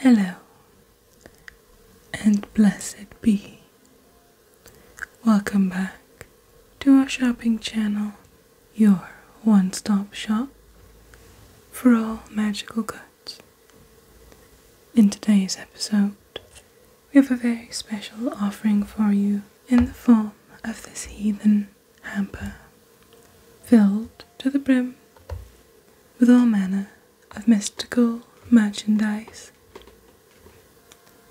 Hello, and blessed be. Welcome back to our shopping channel, your one stop shop for all magical goods. In today's episode, we have a very special offering for you in the form of this heathen hamper, filled to the brim with all manner of mystical merchandise.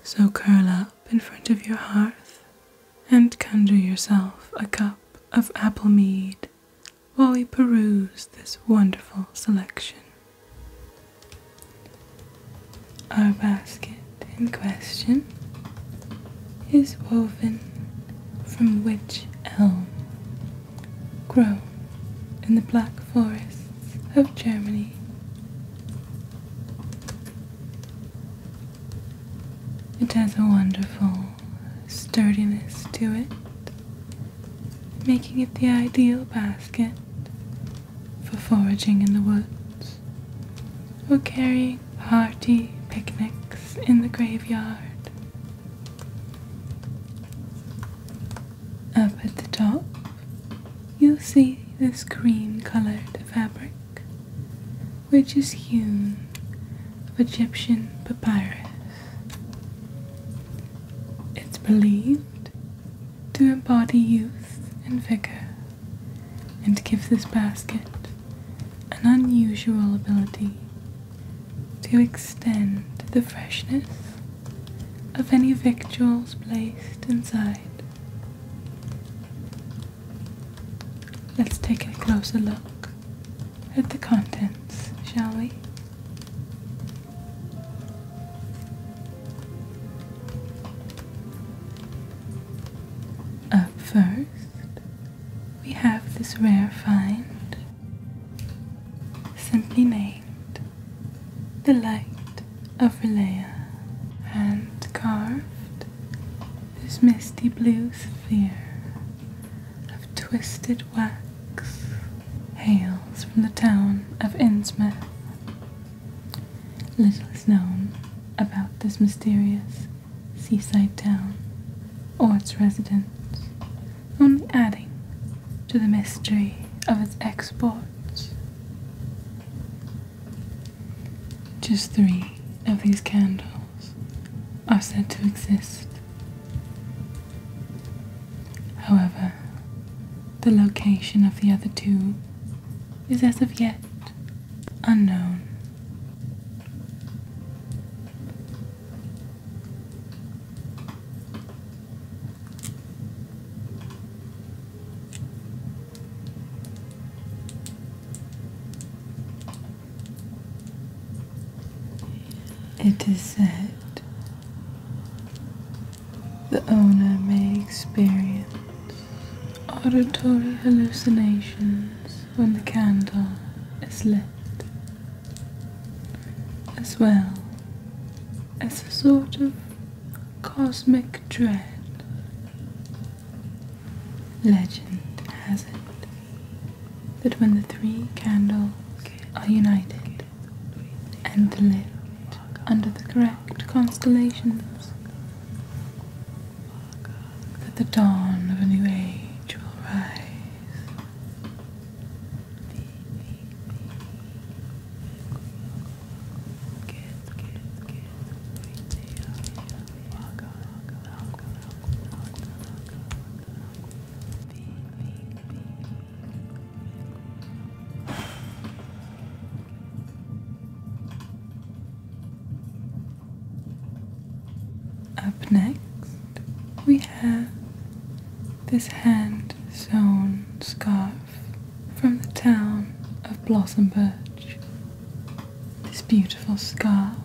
So curl up in front of your hearth and conjure yourself a cup of apple mead while we peruse this wonderful selection. Our basket in question is woven from which elm grown in the black forests of Germany? It has a wonderful sturdiness to it, making it the ideal basket for foraging in the woods, or carrying hearty picnics in the graveyard. Up at the top, you'll see this green colored fabric, which is hewn of Egyptian papyrus. It's believed to embody youth and vigor and give this basket an unusual ability to extend the freshness of any victuals placed inside. Let's take a closer look at the contents, shall we? first, we have this rare find, simply named The Light of Relea, and carved this misty blue sphere of twisted wax hails from the town of Innsmouth. Little is known about this mysterious seaside town or its residents, only adding to the mystery of its exports. Just three of these candles are said to exist, However, the location of the other two is as of yet unknown. It is said the owner may experience auditory hallucinations when the candle is lit, as well as a sort of cosmic dread. Legend has it that when the three candles are united, and lived under the correct constellations, that the dawn of a new age will rise. Up next, we have this hand sewn scarf from the town of Blossom Birch. This beautiful scarf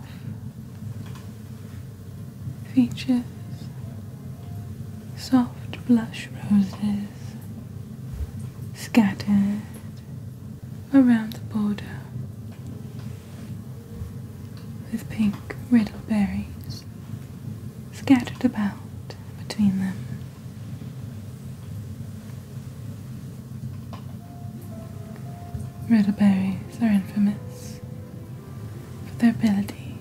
features soft blush roses scattered around the border with pink riddle berries scattered about between them. Riddleberries are infamous for their ability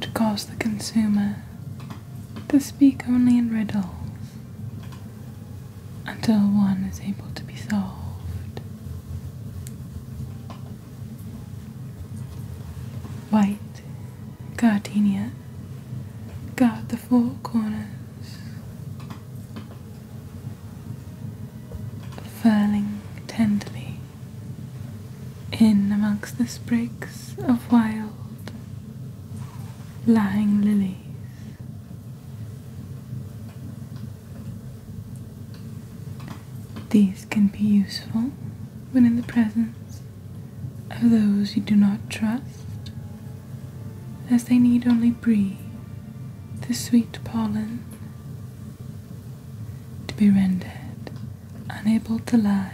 to cause the consumer to speak only in riddles until one is able to be solved. White gardenia guard the four corners. Furling tenderly in amongst the sprigs of wild lying lilies. These can be useful when in the presence of those you do not trust, as they need only breathe the sweet pollen to be rendered unable to lie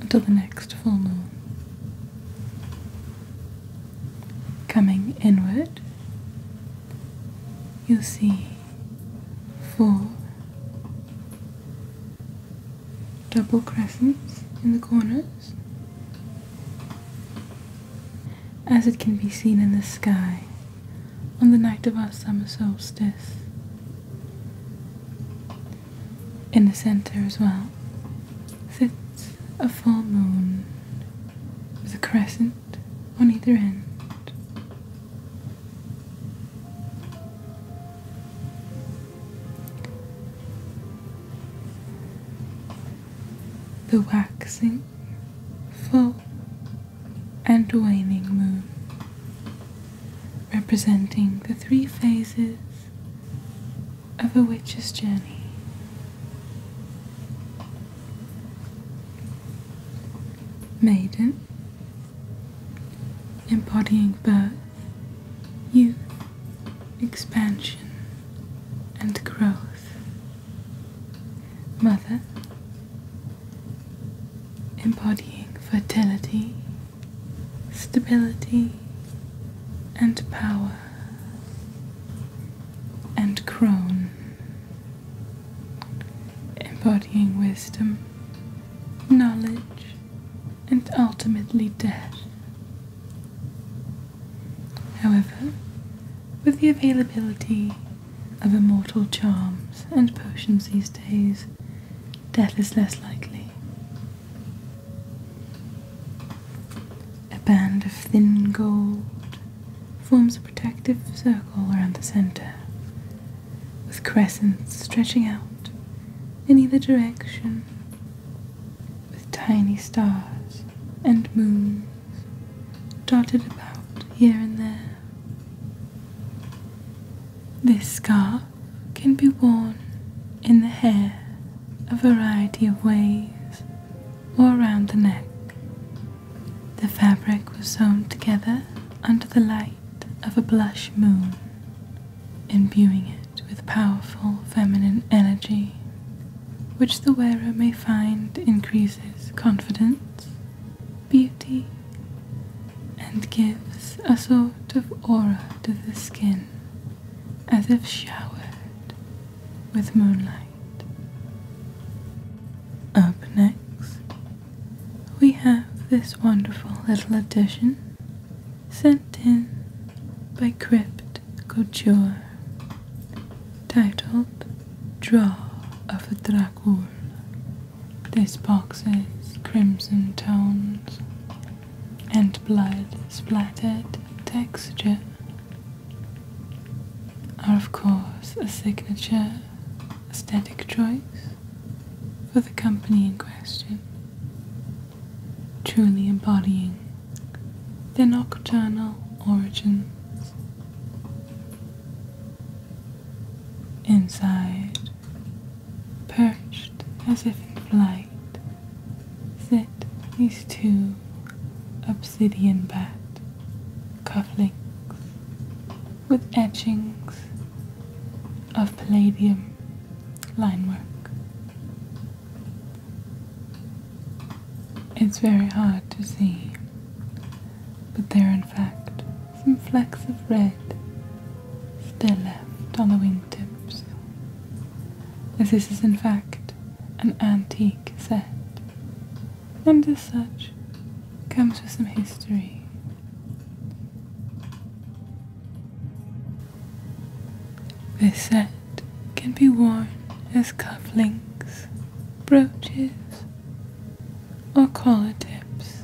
until the next full moon. Coming inward, you'll see four double crescents in the corners. As it can be seen in the sky on the night of our summer solstice. In the center as well sits a full moon with a crescent on either end. The waxing, full, and waning moon representing the three phases of a witch's journey. Maiden, embodying birth, youth, expansion, and growth. Mother, embodying fertility stability, and power, and crone, embodying wisdom, knowledge, and ultimately death. However, with the availability of immortal charms and potions these days, death is less likely. A band of thin gold forms a protective circle around the center, with crescents stretching out in either direction, with tiny stars and moons dotted about here and there. This scarf can be worn in the hair a variety of ways or around the neck. The fabric was sewn together under the light of a blush moon, imbuing it with powerful feminine energy, which the wearer may find increases confidence, beauty, and gives a sort of aura to the skin as if showered with moonlight. Up next, we have this wonderful little addition sent in by Crypt Couture titled Draw of the Dracul. This box is crimson tones and blood splattered texture are of course a signature aesthetic choice for the company in question, truly embodying their nocturnal origins. Inside perched as if in flight, sit these two obsidian bats, cufflinks with etchings of palladium line work. It's very hard to see, but there in fact some flecks of red still left on the wing victims. As this is in fact an antique set, and as such comes with some history. This set can be worn as cufflinks, brooches, or collar tips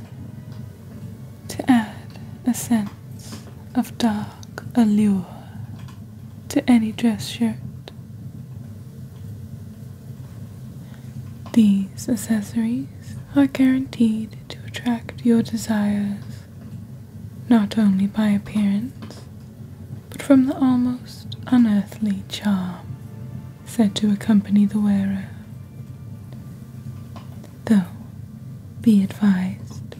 to add a sense of dark allure to any dress shirt. These accessories are guaranteed to attract your desires not only by appearance, but from the almost unearthly charm said to accompany the wearer. Though, be advised,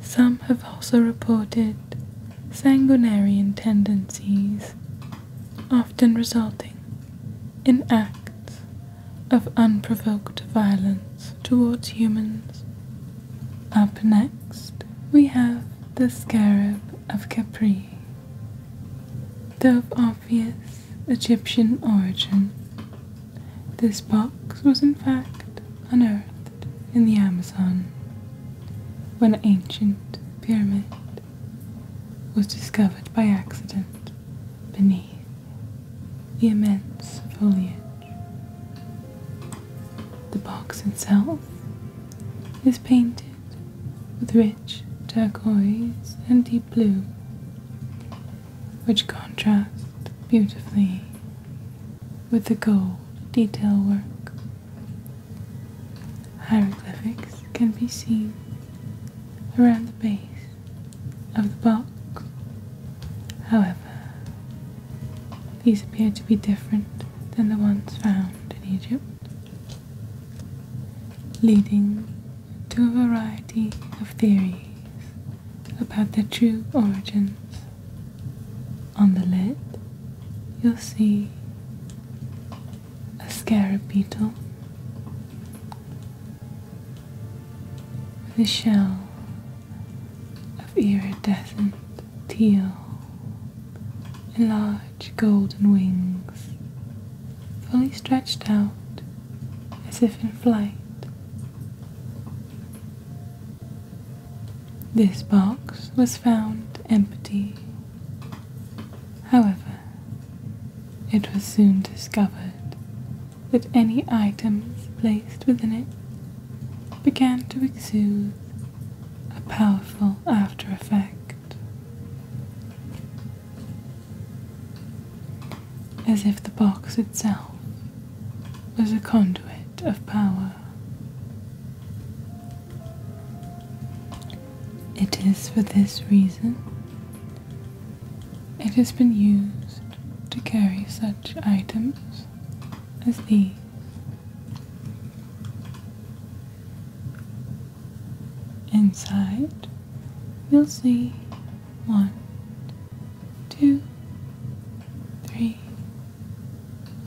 some have also reported sanguinary tendencies, often resulting in acts of unprovoked violence towards humans. Up next, we have the scarab of Capri. the obvious Egyptian origin. This box was in fact unearthed in the Amazon when an ancient pyramid was discovered by accident beneath the immense foliage. The box itself is painted with rich turquoise and deep blue which contrast beautifully with the gold detail work. Hieroglyphics can be seen around the base of the box. However, these appear to be different than the ones found in Egypt, leading to a variety of theories about their true origins. On the lid, you'll see a scarab beetle with a shell of iridescent teal and large golden wings fully stretched out as if in flight this box was found empty. However, it was soon discovered that any items placed within it began to exude a powerful after effect as if the box itself was a conduit of power. It is for this reason it has been used to carry such items as these. Inside, you'll see one, two, three,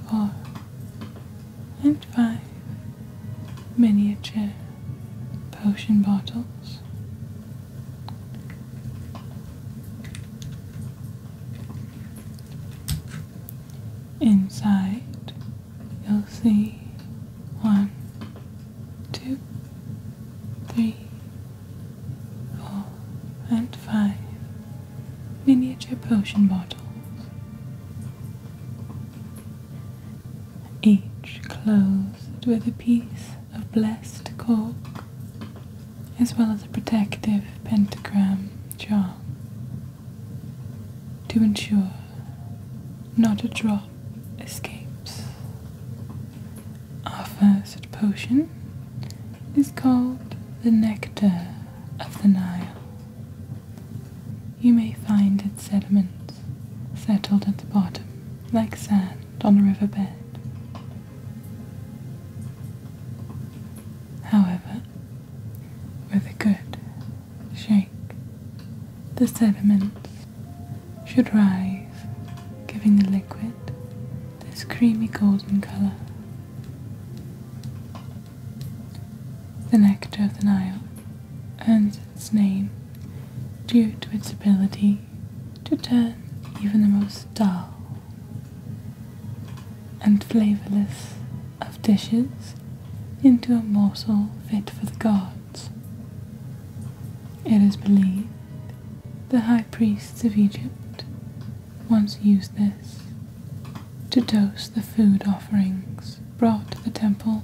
four, and five miniature potion bottles. Inside, you'll see one, two, three, four, and five miniature potion bottles. Each closed with a piece of blessed cork, as well as a protective pentagram charm, to ensure not a drop escapes. Our first potion is called the Nectar of the Nile. You may find its sediments settled at the bottom like sand on a riverbed. However, with a good shake, the sediments should rise, giving the liquid this creamy golden colour. The nectar of the Nile earns its name due to its ability to turn even the most dull and flavourless of dishes into a morsel fit for the gods. It is believed the priests of Egypt once used this to toast the food offerings brought to the temples,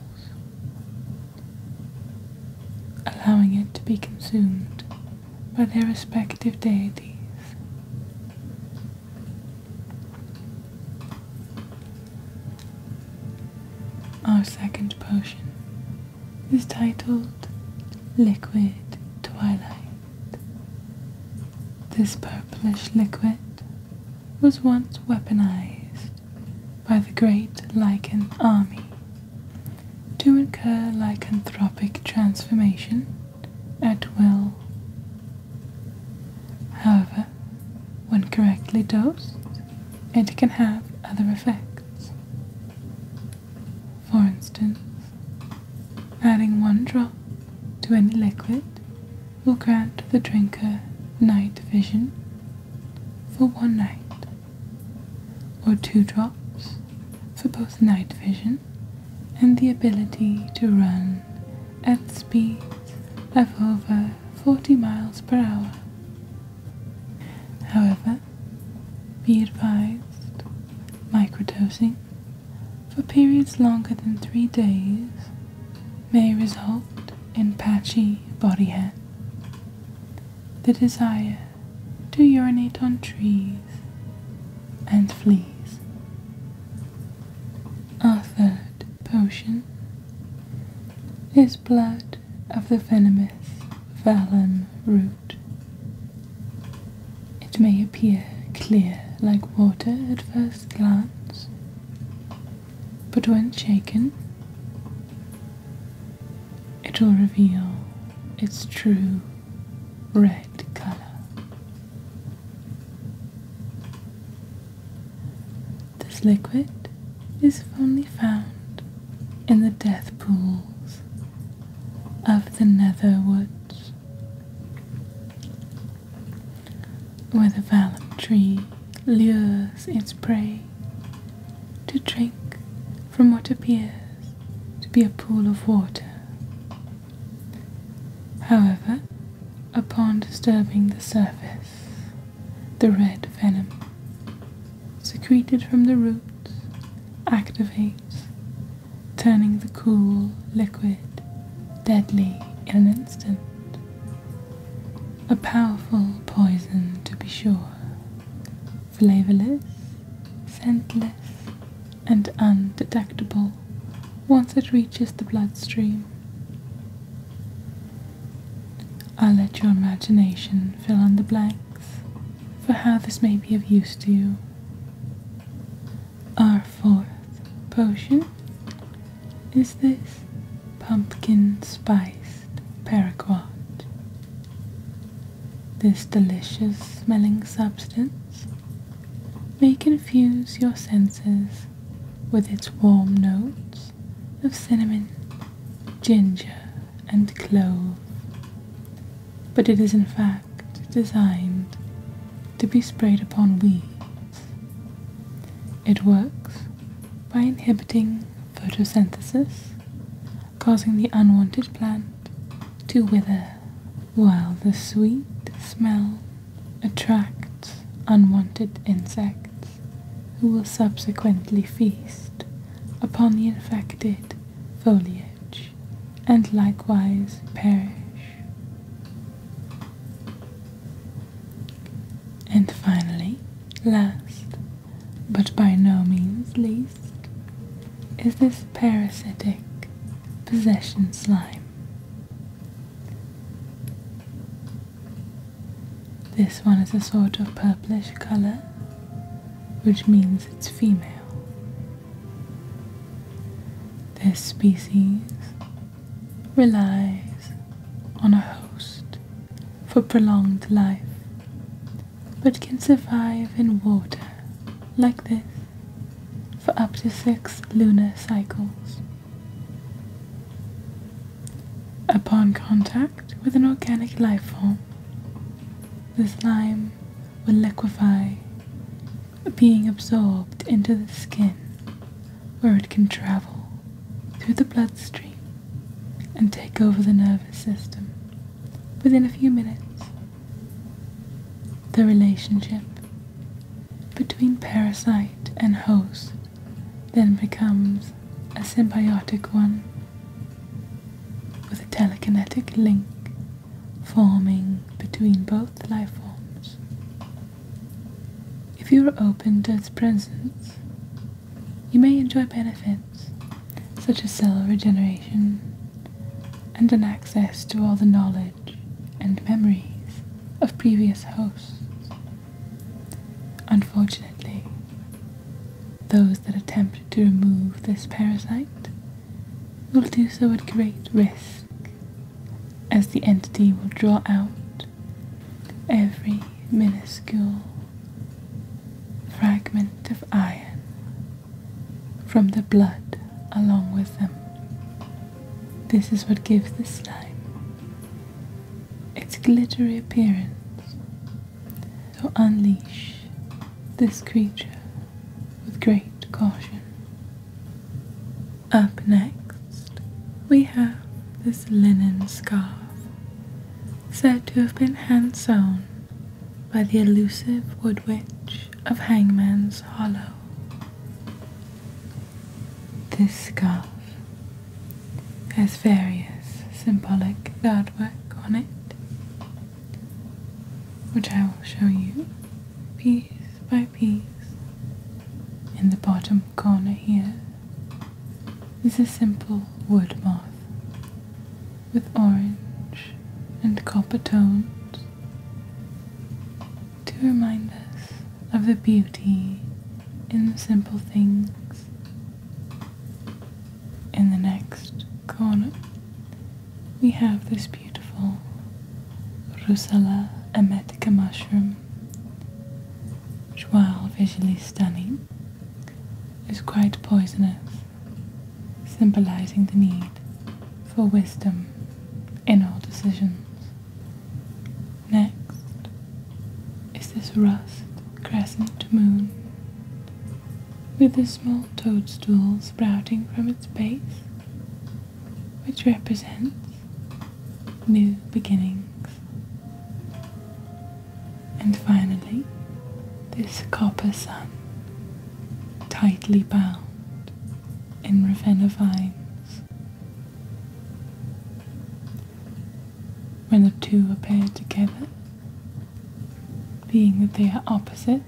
allowing it to be consumed by their respective deities. Our second potion is titled Liquid Twilight. This purplish liquid was once weaponized by the great Lycan army to incur lycanthropic transformation at will. However, when correctly dosed, it can have other effects. For instance, adding one drop to any liquid will grant the drinker night vision for one night, or two drops for both night vision and the ability to run at speeds of over 40 miles per hour. However, be advised microdosing for periods longer than three days may result in patchy body hair. The desire to urinate on trees and fleas. Our third potion is blood of the venomous Valen root. It may appear clear like water at first glance, but when shaken, it will reveal its true red color. This liquid is only found in the death pools of the nether woods, where the vallum tree lures its prey to drink from what appears to be a pool of water. However, upon disturbing the surface, the red venom secreted from the roots activates, turning the cool liquid deadly in an instant. A powerful poison, to be sure, flavorless, scentless, and undetectable once it reaches the bloodstream. I'll let your imagination fill in the blanks for how this may be of use to you. Our fourth potion is this pumpkin spiced paraquat. This delicious smelling substance may confuse your senses with its warm notes of cinnamon, ginger, and cloves but it is in fact designed to be sprayed upon weeds. It works by inhibiting photosynthesis, causing the unwanted plant to wither, while the sweet smell attracts unwanted insects who will subsequently feast upon the infected foliage and likewise perish. And finally, last, but by no means least, is this parasitic possession slime. This one is a sort of purplish colour, which means it's female. This species relies on a host for prolonged life, but can survive in water like this for up to six lunar cycles. Upon contact with an organic life form, the slime will liquefy, being absorbed into the skin where it can travel through the bloodstream and take over the nervous system within a few minutes. The relationship between parasite and host then becomes a symbiotic one with a telekinetic link forming between both life forms. If you are open to its presence, you may enjoy benefits such as cell regeneration and an access to all the knowledge and memories of previous hosts. Unfortunately, those that attempt to remove this parasite will do so at great risk, as the entity will draw out every minuscule fragment of iron from the blood along with them. This is what gives the slime its glittery appearance so unleash this creature with great caution. Up next, we have this linen scarf, said to have been hand sewn by the elusive wood witch of Hangman's Hollow. This scarf has various symbolic artwork on it, which I will show you piece by piece in the bottom corner here is a simple wood moth with orange and copper tones to remind us of the beauty in the simple things. In the next corner we have this beautiful Russula emetica mushroom, which while visually stunning, is quite poisonous, symbolizing the need for wisdom in all decisions. Next is this rust crescent moon, with a small toadstool sprouting from its base, which represents new beginnings. And finally, this copper sun, tightly bound in raven vines. When the two are paired together, being that they are opposites,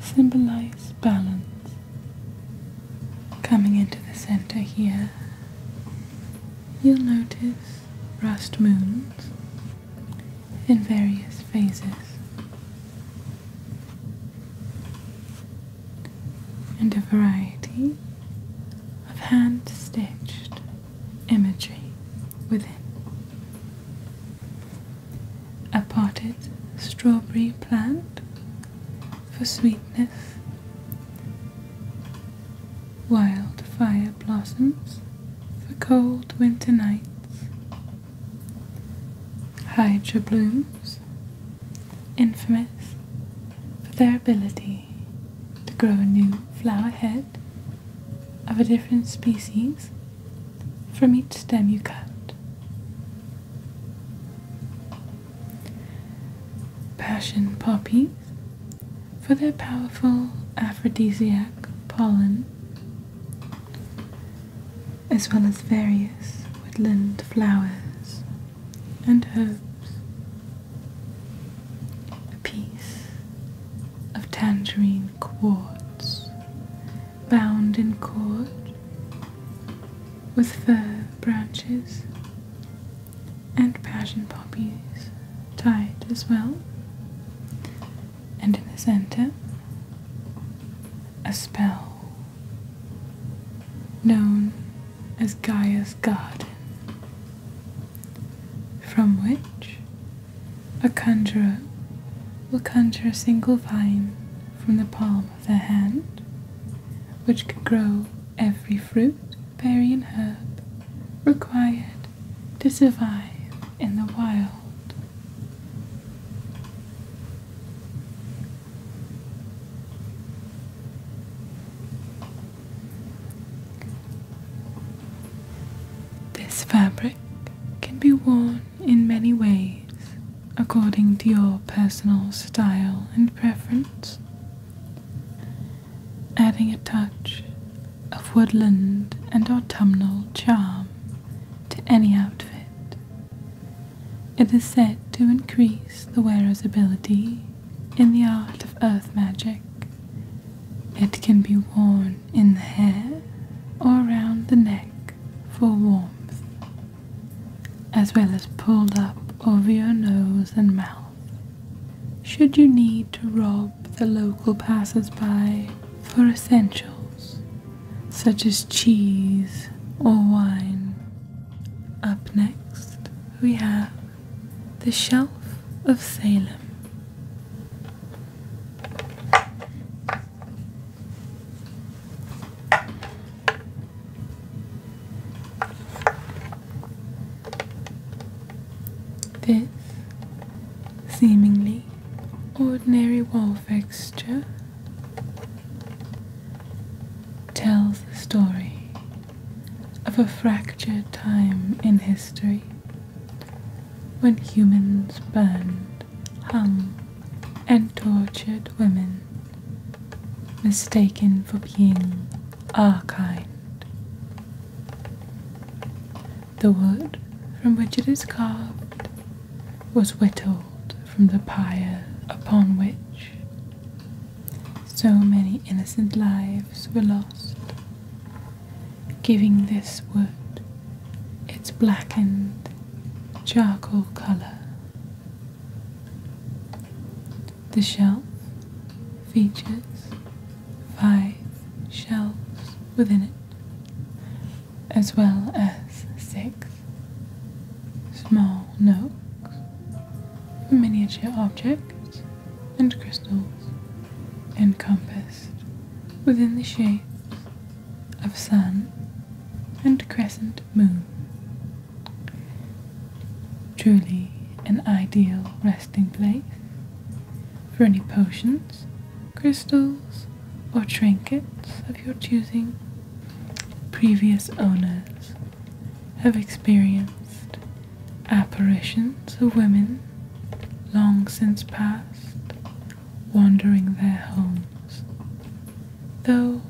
symbolize balance. Coming into the center here, you'll notice rust moons in various phases. And a variety of hand stitched imagery within a potted strawberry plant for sweetness, Wild fire blossoms for cold winter nights, hydra blooms, infamous for their ability to grow a new flower head of a different species from each stem you cut. Passion poppies, for their powerful aphrodisiac pollen, as well as various woodland flowers and herbs. A piece of tangerine quartz, bound in cord with fir branches and passion poppies tied as well. And in the center, a spell known as Gaia's Garden, from which a conjurer will conjure a single vine from the palm of the hand, which can grow every fruit, berry, and herb required to survive in the wild. This fabric can be worn in many ways according to your personal style and preference. Adding a touch of woodland and autumnal charm to any outfit. It is said to increase the wearer's ability in the art of earth magic. It can be worn in the hair or around the neck for warmth, as well as pulled up over your nose and mouth. Should you need to rob the local passers-by for essentials such as cheese or wine. Up next, we have the Shelf of Salem. This seemingly ordinary wall fixture tells the story of a fractured time in history when humans burned, hung, and tortured women, mistaken for being our kind. The wood from which it is carved was whittled from the pyre upon which so many innocent lives were lost giving this wood its blackened charcoal colour. The shelf features five shelves within it, as well as six small nooks miniature objects and crystals and compass within the shade of sun and crescent moon. Truly an ideal resting place for any potions, crystals, or trinkets of your choosing. Previous owners have experienced apparitions of women long since past wandering their homes, though,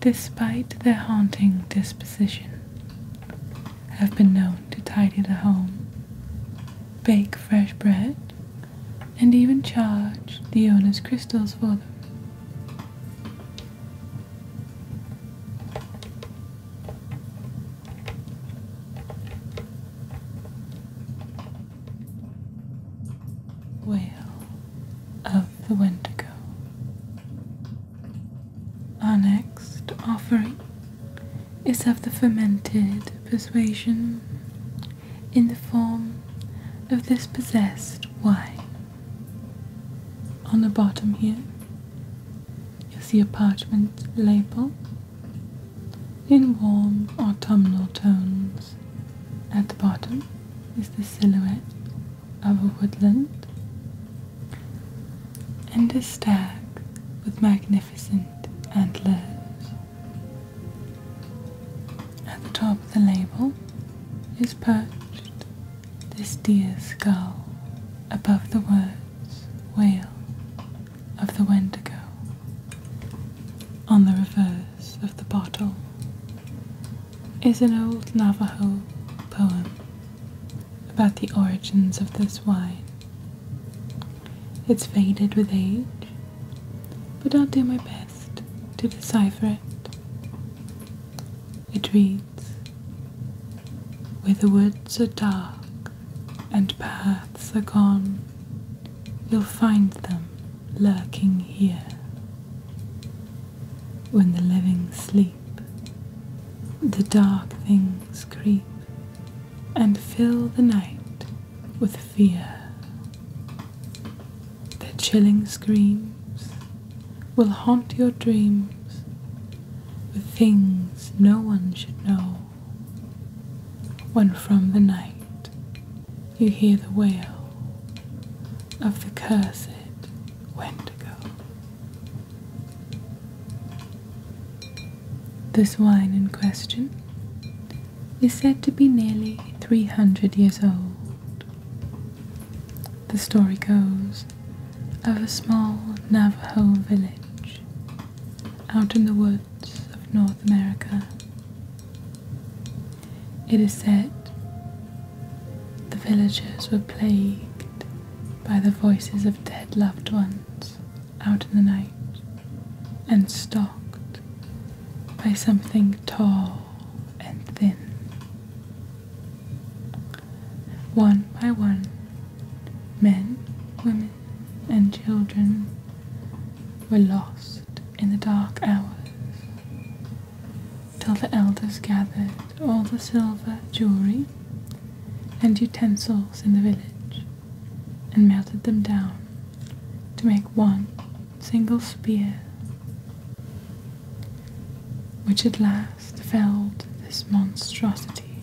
despite their haunting disposition, have been known to tidy the home, bake fresh bread, and even charge the owner's crystals for them. Whale of the Wendigo. Our next offering is of the fermented persuasion in the form of this possessed wine. On the bottom here, you'll see a parchment label in warm autumnal tones. At the bottom is the silhouette of a woodland and a stag with magnificent antlers. At the top of the label is perched this deer skull above the words Wail of the Wendigo. On the reverse of the bottle is an old Navajo poem about the origins of this wine. It's faded with age, but I'll do my best to decipher it. It reads Where the woods are dark and paths are gone, you'll find them lurking here. When the living sleep, the dark things creep and fill the night with fear. Their chilling screams will haunt your dreams with things no one should know. When from the night you hear the wail of the cursed Wendigo. This wine in question is said to be nearly 300 years old. The story goes of a small Navajo village out in the woods of North America. It is said the villagers were plagued by the voices of dead loved ones out in the night and stalked by something tall and thin. One by one, men, women, and children were lost in the dark hours, till the elders gathered all the silver jewelry and utensils in the village and melted them down to make one single spear, which at last felled this monstrosity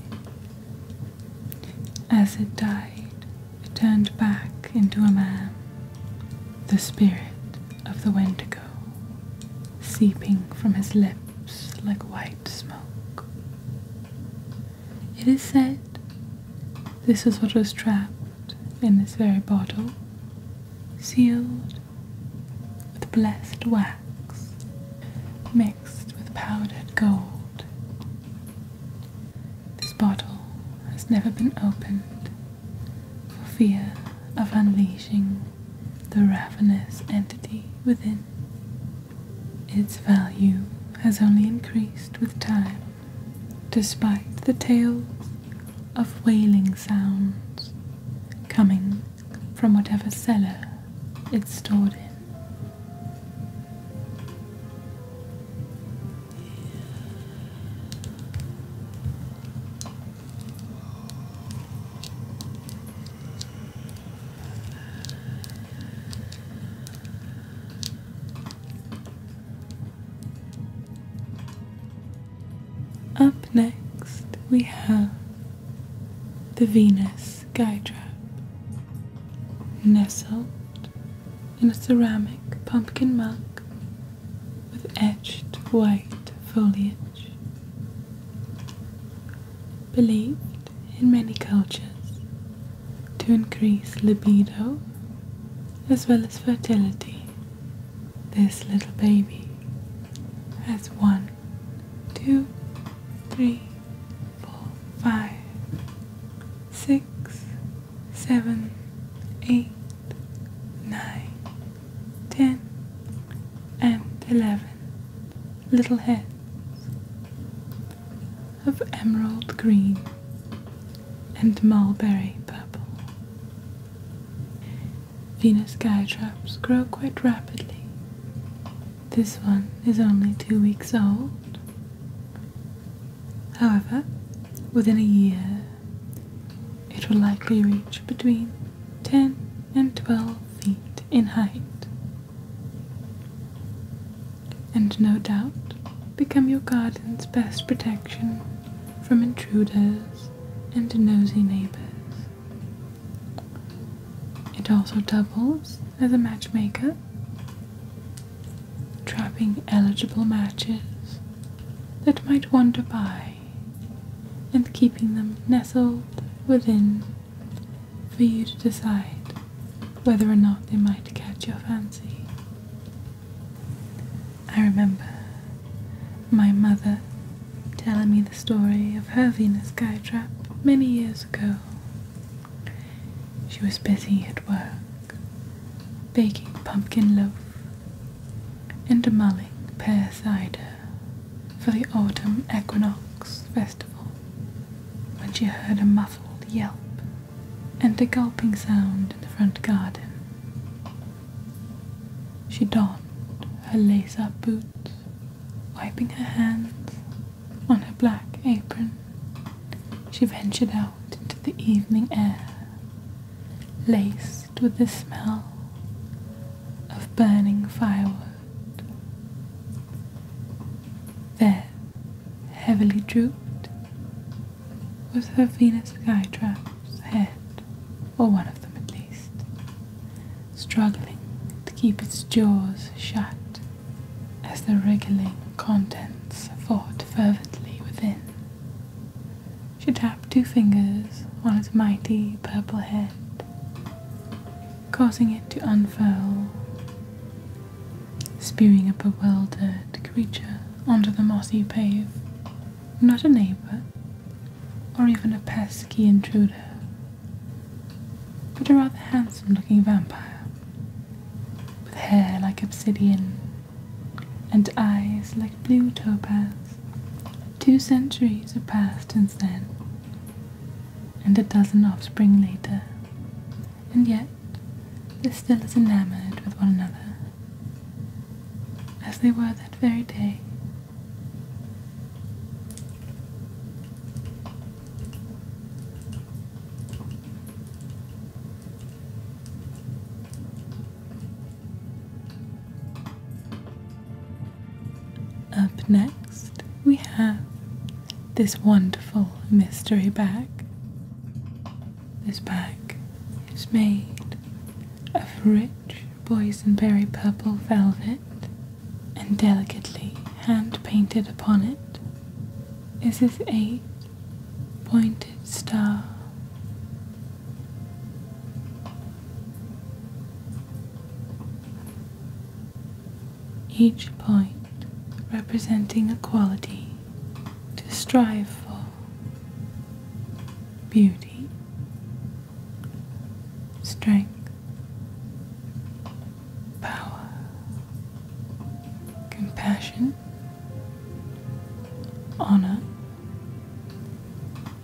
as it died, it turned back into a man, the spirit of the Wendigo, seeping from his lips like white smoke. It is said this is what was trapped in this very bottle, sealed with blessed wax mixed with powdered gold this bottle has never been opened for fear of unleashing the ravenous entity within. Its value has only increased with time, despite the tales of wailing sounds coming from whatever cellar it's stored in. Up next, we have the Venus Skytrap, nestled in a ceramic pumpkin mug with etched white foliage. Believed in many cultures to increase libido as well as fertility, this little baby has one, two, three, four, five, six, seven, eight, nine, ten, and eleven little heads of emerald green and mulberry purple. Venus skytraps grow quite rapidly. This one is only two weeks old However, within a year, it will likely reach between 10 and 12 feet in height, and no doubt become your garden's best protection from intruders and nosy neighbors. It also doubles as a matchmaker trapping eligible matches that might wander by and keeping them nestled within for you to decide whether or not they might catch your fancy. I remember my mother telling me the story of her Venus trap many years ago she was busy at work, baking pumpkin loaf and demolling pear cider for the autumn equinox festival when she heard a muffled yelp and a gulping sound in the front garden. She donned her lace-up boots, wiping her hands on her black apron she ventured out into the evening air, laced with the smell of burning firewood. There, heavily drooped, was her Venus Skytrap's head, or one of them at least, struggling to keep its jaws shut as the wriggling contents fought fervently within. She tapped two fingers on its mighty purple head, causing it to unfurl, spewing a bewildered creature onto the mossy pave. Not a neighbour, or even a pesky intruder, but a rather handsome looking vampire, with hair like obsidian and eyes like blue topaz. Two centuries have passed since then, and a dozen offspring later, and yet they're still as enamored with one another as they were that very day. Up next, we have this wonderful mystery bag. This bag is made of rich boysenberry purple velvet, and delicately hand painted upon it is his eight pointed star. Each point representing a quality to strive for beauty, strength, power, compassion, Honor,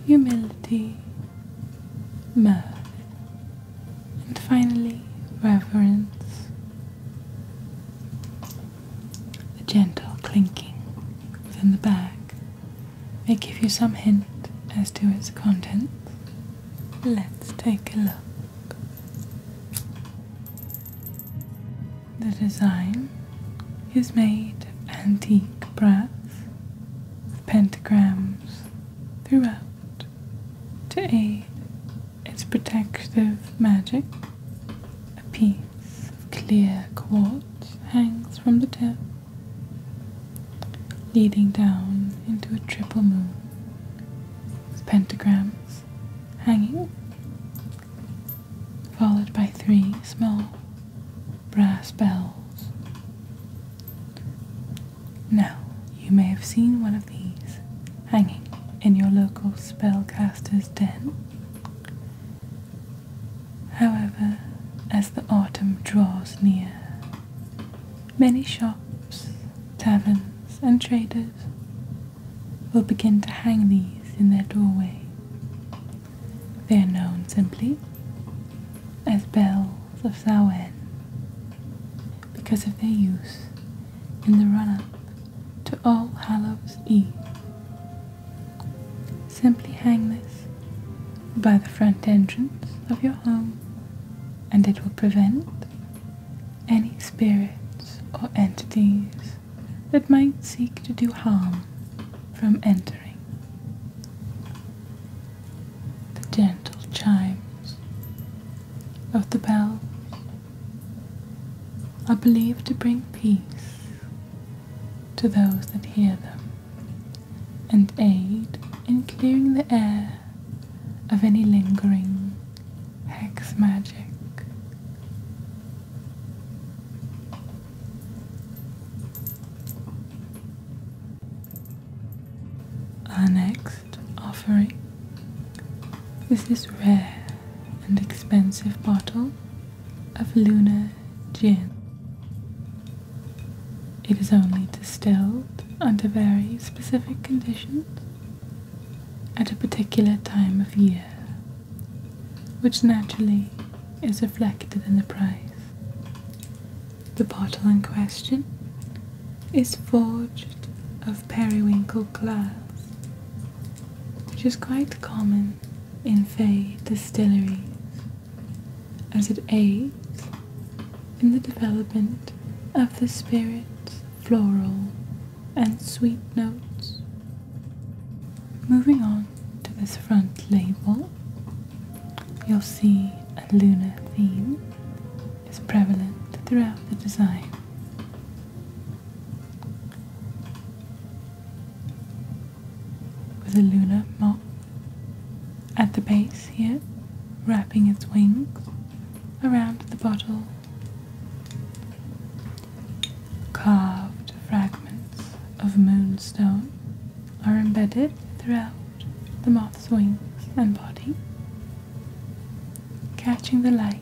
humility, mirth, and finally reverence. The gentle clinking within the bag may give you some hint as to its contents. Let's take a look. The design is made of antique brass with pentagrams throughout to aid its protective magic. A piece of clear quartz hangs from the top, leading down into a triple moon with pentagrams hanging followed by three small brass bells. Now, you may have seen one of these hanging in your local spellcaster's den. However, as the autumn draws near, many shops, taverns, and traders will begin to hang these in their doorway. They are known simply as bells of Samhain because of their use in the run up to All Hallows Eve. Simply hang this by the front entrance of your home and it will prevent any spirits or entities that might seek to do harm from entering. The gentle chimes of the bells are believed to bring peace to those that hear them and aid in clearing the air of any lingering hex magic our next offering is this rare and expensive bottle of lunar Gin. It is only distilled under very specific conditions at a particular time of year which naturally is reflected in the price. The bottle in question is forged of periwinkle glass, which is quite common in Fay distilleries, as it aids in the development of the spirit's floral and sweet notes. Moving on to this front label, you'll see a lunar theme is prevalent throughout the design. With a lunar moth at the base here, wrapping its wings around the bottle Carved fragments of moonstone are embedded throughout the moth's wings and body, catching the light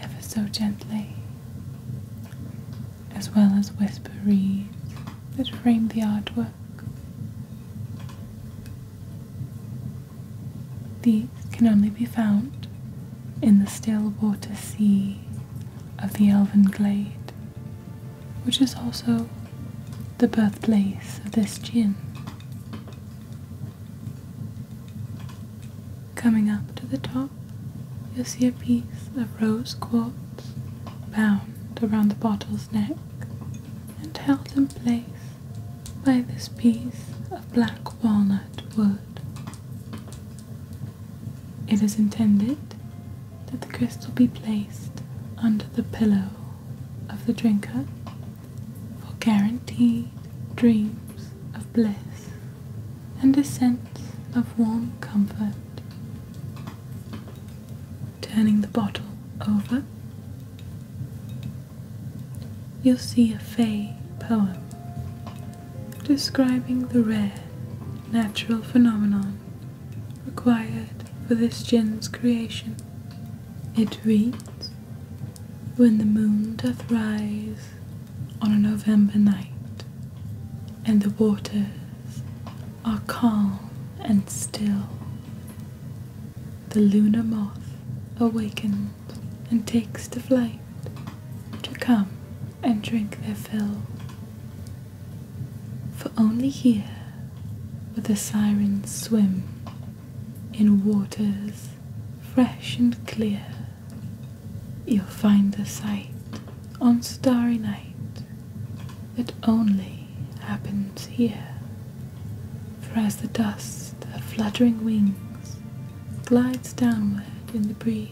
ever so gently, as well as whisper reeds that frame the artwork. The can only be found in the still water sea of the Elven Glade, which is also the birthplace of this gin. Coming up to the top, you'll see a piece of rose quartz bound around the bottle's neck and held in place by this piece of black walnut wood. It is intended that the crystal be placed under the pillow of the drinker for guaranteed dreams of bliss and a sense of warm comfort. Turning the bottle over, you'll see a Fey poem describing the rare natural phenomenon required for this gin's creation. It reads When the moon doth rise on a November night, and the waters are calm and still, the lunar moth awakens and takes to flight to come and drink their fill. For only here will the sirens swim in waters fresh and clear. You'll find the sight on starry night that only happens here. For as the dust of fluttering wings glides downward in the breeze,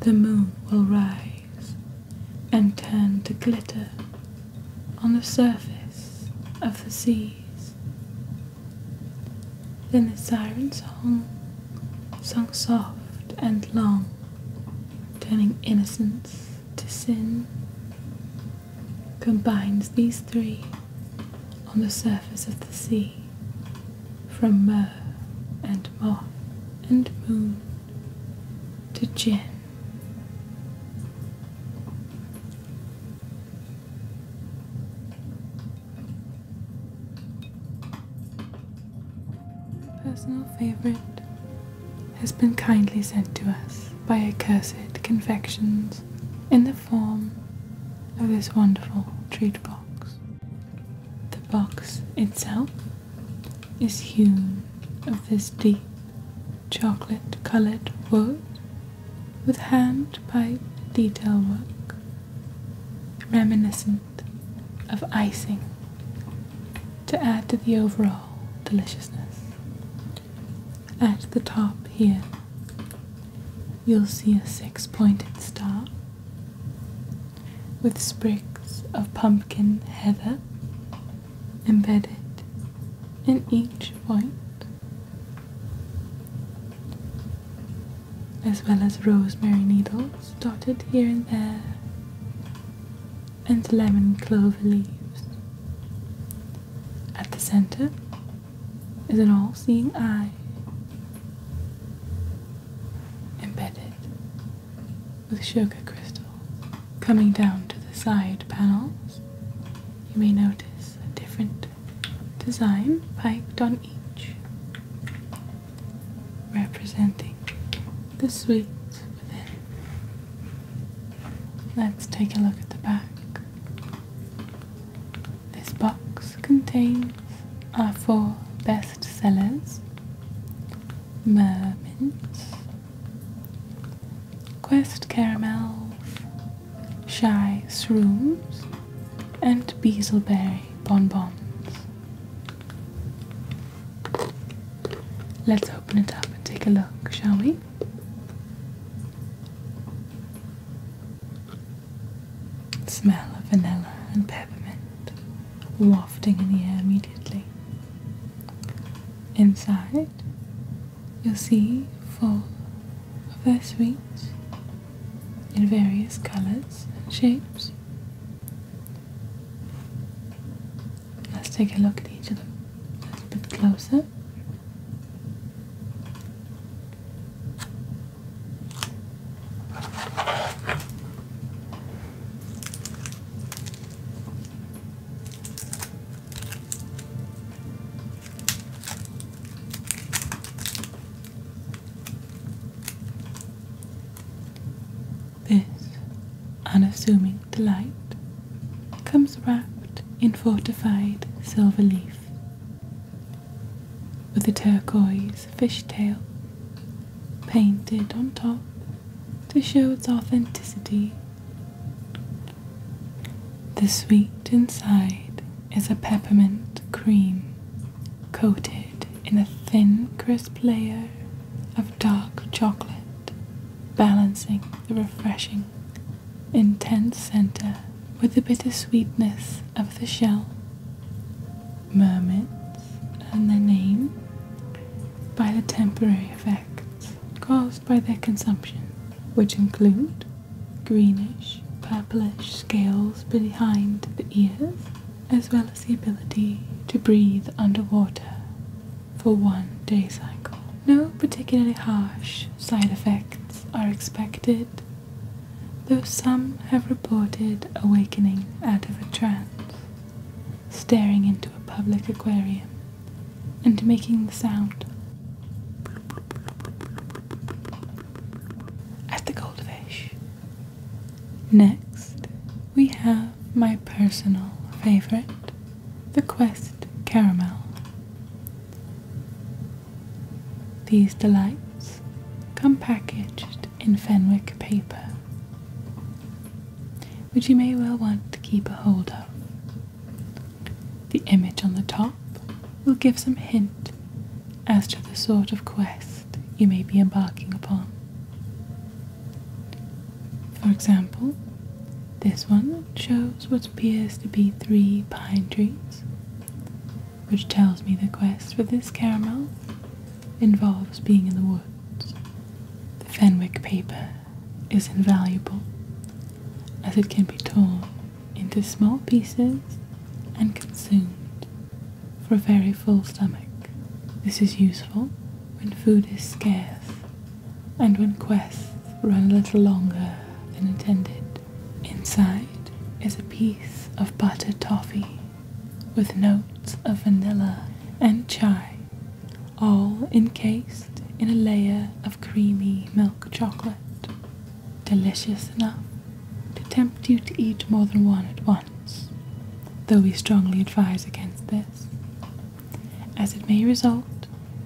the moon will rise and turn to glitter on the surface of the seas. Then the siren song sung soft and long, turning innocence to sin, combines these three on the surface of the sea from myrrh and moth and moon to gin. Personal favorite has been kindly sent to us by Accursed Confections in the form of this wonderful treat box. The box itself is hewn of this deep chocolate coloured wood with hand piped detail work reminiscent of icing to add to the overall deliciousness. At the top here, you'll see a six pointed star with sprigs of pumpkin heather embedded in each white, as well as rosemary needles dotted here and there, and lemon clover leaves. At the center is an all seeing eye embedded with sugar crystals coming down to the side panels. You may notice a different design piked on each, representing the sweet within. Let's take a look at the back. This box contains our four best sellers Mermints, Quest Caramels, Shy Shrooms, and Beazleberry Bonbons. Let's open it up and take a look, shall we? smell of vanilla and peppermint wafting in the air immediately. Inside, you'll see four of their sweets in various colours and shapes. Let's take a look at each of them a little bit closer. This unassuming delight comes wrapped in fortified silver leaf with a turquoise fishtail painted on top to show its authenticity. The sweet inside is a peppermint cream coated in a thin, crisp layer of dark chocolate, balancing the refreshing, intense center with the bittersweetness of the shell. Mermaids and their name by the temporary effects caused by their consumption, which include greenish, purplish scales behind the ears, as well as the ability to breathe underwater for one day cycle. No particularly harsh side effects are expected though some have reported awakening out of a trance, staring into a public aquarium, and making the sound. As the goldfish. Next, we have my personal favorite, the Quest Caramel. These delights come packaged in Fenwick paper, which you may well want to keep a hold of. The image on the top will give some hint as to the sort of quest you may be embarking upon. For example, this one shows what appears to be three pine trees which tells me the quest for this caramel involves being in the woods. The Fenwick paper is invaluable as it can be torn into small pieces and consumed for a very full stomach. This is useful when food is scarce and when quests run a little longer than intended. Inside is a piece of buttered toffee with notes of vanilla and chai, all encased in a layer of creamy milk chocolate. Delicious enough to tempt you to eat more than one at once, though we strongly advise against this, as it may result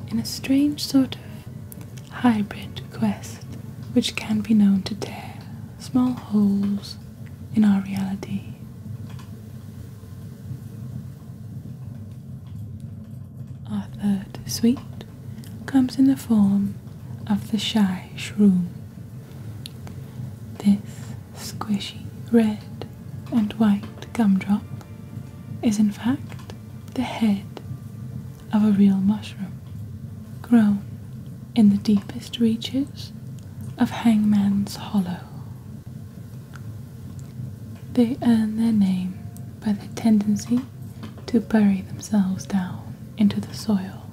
in a strange sort of hybrid quest which can be known to tear small holes in our reality. Our third sweet comes in the form of the shy shroom. This squishy red and white gumdrop is in fact the head of a real mushroom, grown in the deepest reaches of Hangman's Hollow. They earn their name by their tendency to bury themselves down into the soil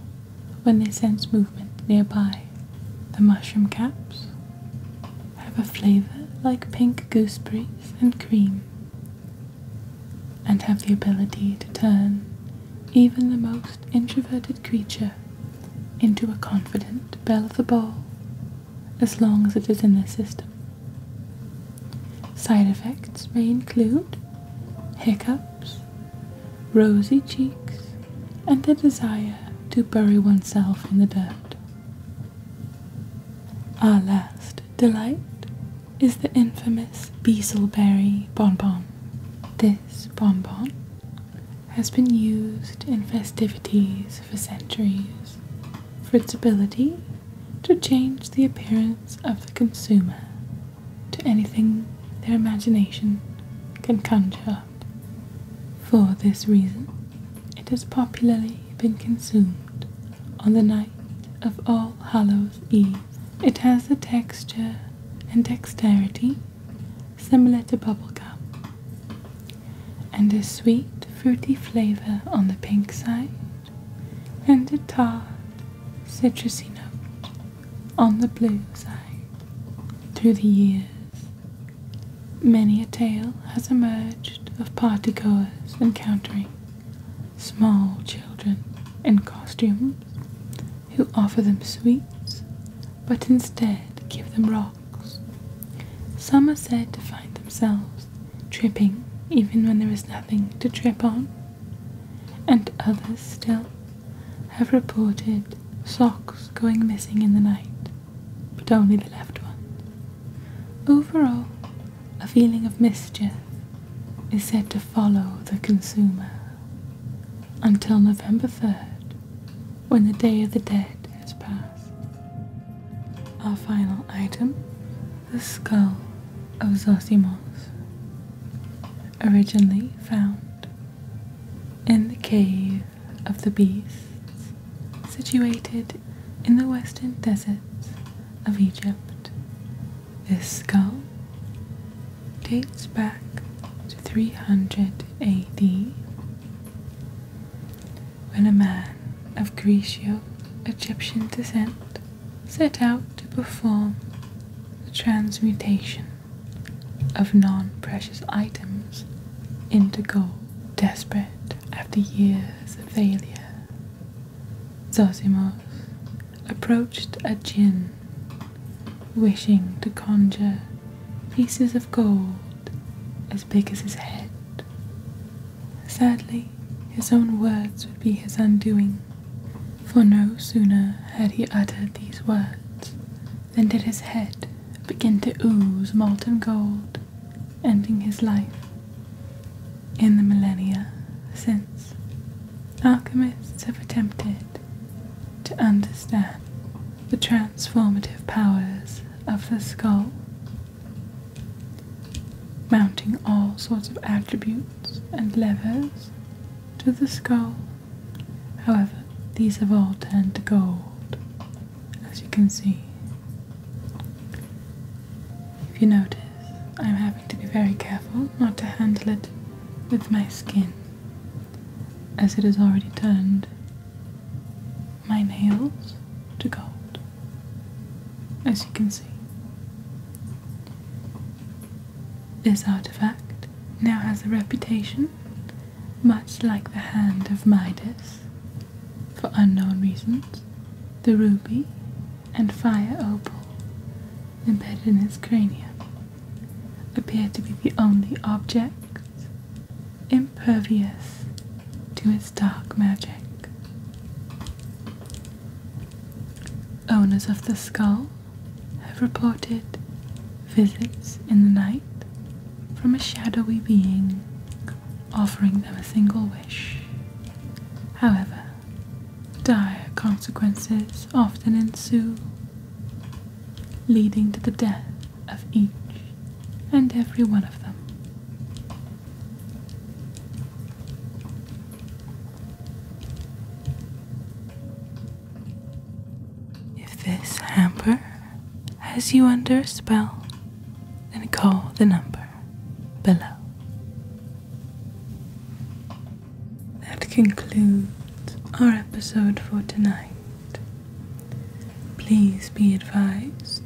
when they sense movement nearby. The mushroom caps have a flavour like pink gooseberries and cream and have the ability to turn even the most introverted creature into a confident belle of the ball as long as it is in their system. Side effects may include hiccups, rosy cheeks, and the desire to bury oneself in the dirt. Our last delight is the infamous Beaselberry bonbon. This bonbon has been used in festivities for centuries for its ability to change the appearance of the consumer to anything their imagination can conjure up. For this reason, it has popularly been consumed on the night of All Hallows Eve. It has a texture and dexterity, similar to bubblegum, and a sweet fruity flavour on the pink side, and a tart citrusy note on the blue side. Through the years, many a tale has emerged of partygoers encountering small children in costumes who offer them sweets, but instead give them rocks. Some are said to find themselves tripping even when there is nothing to trip on, and others still have reported socks going missing in the night, but only the left one. Overall, a feeling of mischief is said to follow the consumer until November 3rd, when the Day of the Dead has passed. Our final item, the skull of Zosimos, originally found in the Cave of the Beasts, situated in the western deserts of Egypt. This skull dates back to 300 AD when a man of Grecio Egyptian descent set out to perform the transmutation of non precious items into gold, desperate after years of failure. Zosimos approached a jinn, wishing to conjure pieces of gold as big as his head. Sadly, his own words would be his undoing, for no sooner had he uttered these words than did his head begin to ooze molten gold, ending his life. In the millennia since, alchemists have attempted to understand the transformative powers of the skull, mounting all sorts of attributes and levers to the skull. However, these have all turned to gold, as you can see. If you notice, I'm having to be very careful not to handle it with my skin as it has already turned my nails to gold, as you can see. This artifact now has a reputation, much like the hand of Midas. For unknown reasons, the ruby and fire opal embedded in its cranium appear to be the only object impervious to its dark magic. Owners of the skull have reported visits in the night from a shadowy being offering them a single wish. However, dire consequences often ensue, leading to the death of each and every one of them. If this hamper has you under a spell, then call the number below that concludes our episode for tonight. Please be advised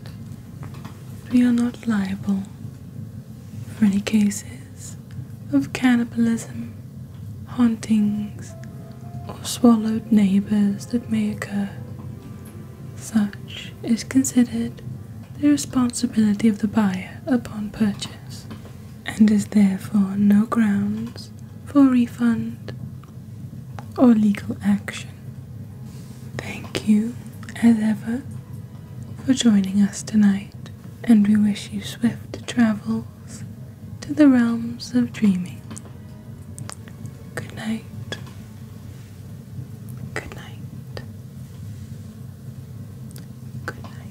we are not liable for any cases of cannibalism, hauntings, or swallowed neighbors that may occur. Such is considered the responsibility of the buyer upon purchase and is therefore no grounds for refund or legal action. Thank you, as ever, for joining us tonight, and we wish you swift travels to the realms of dreaming. Good night. Good night. Good night.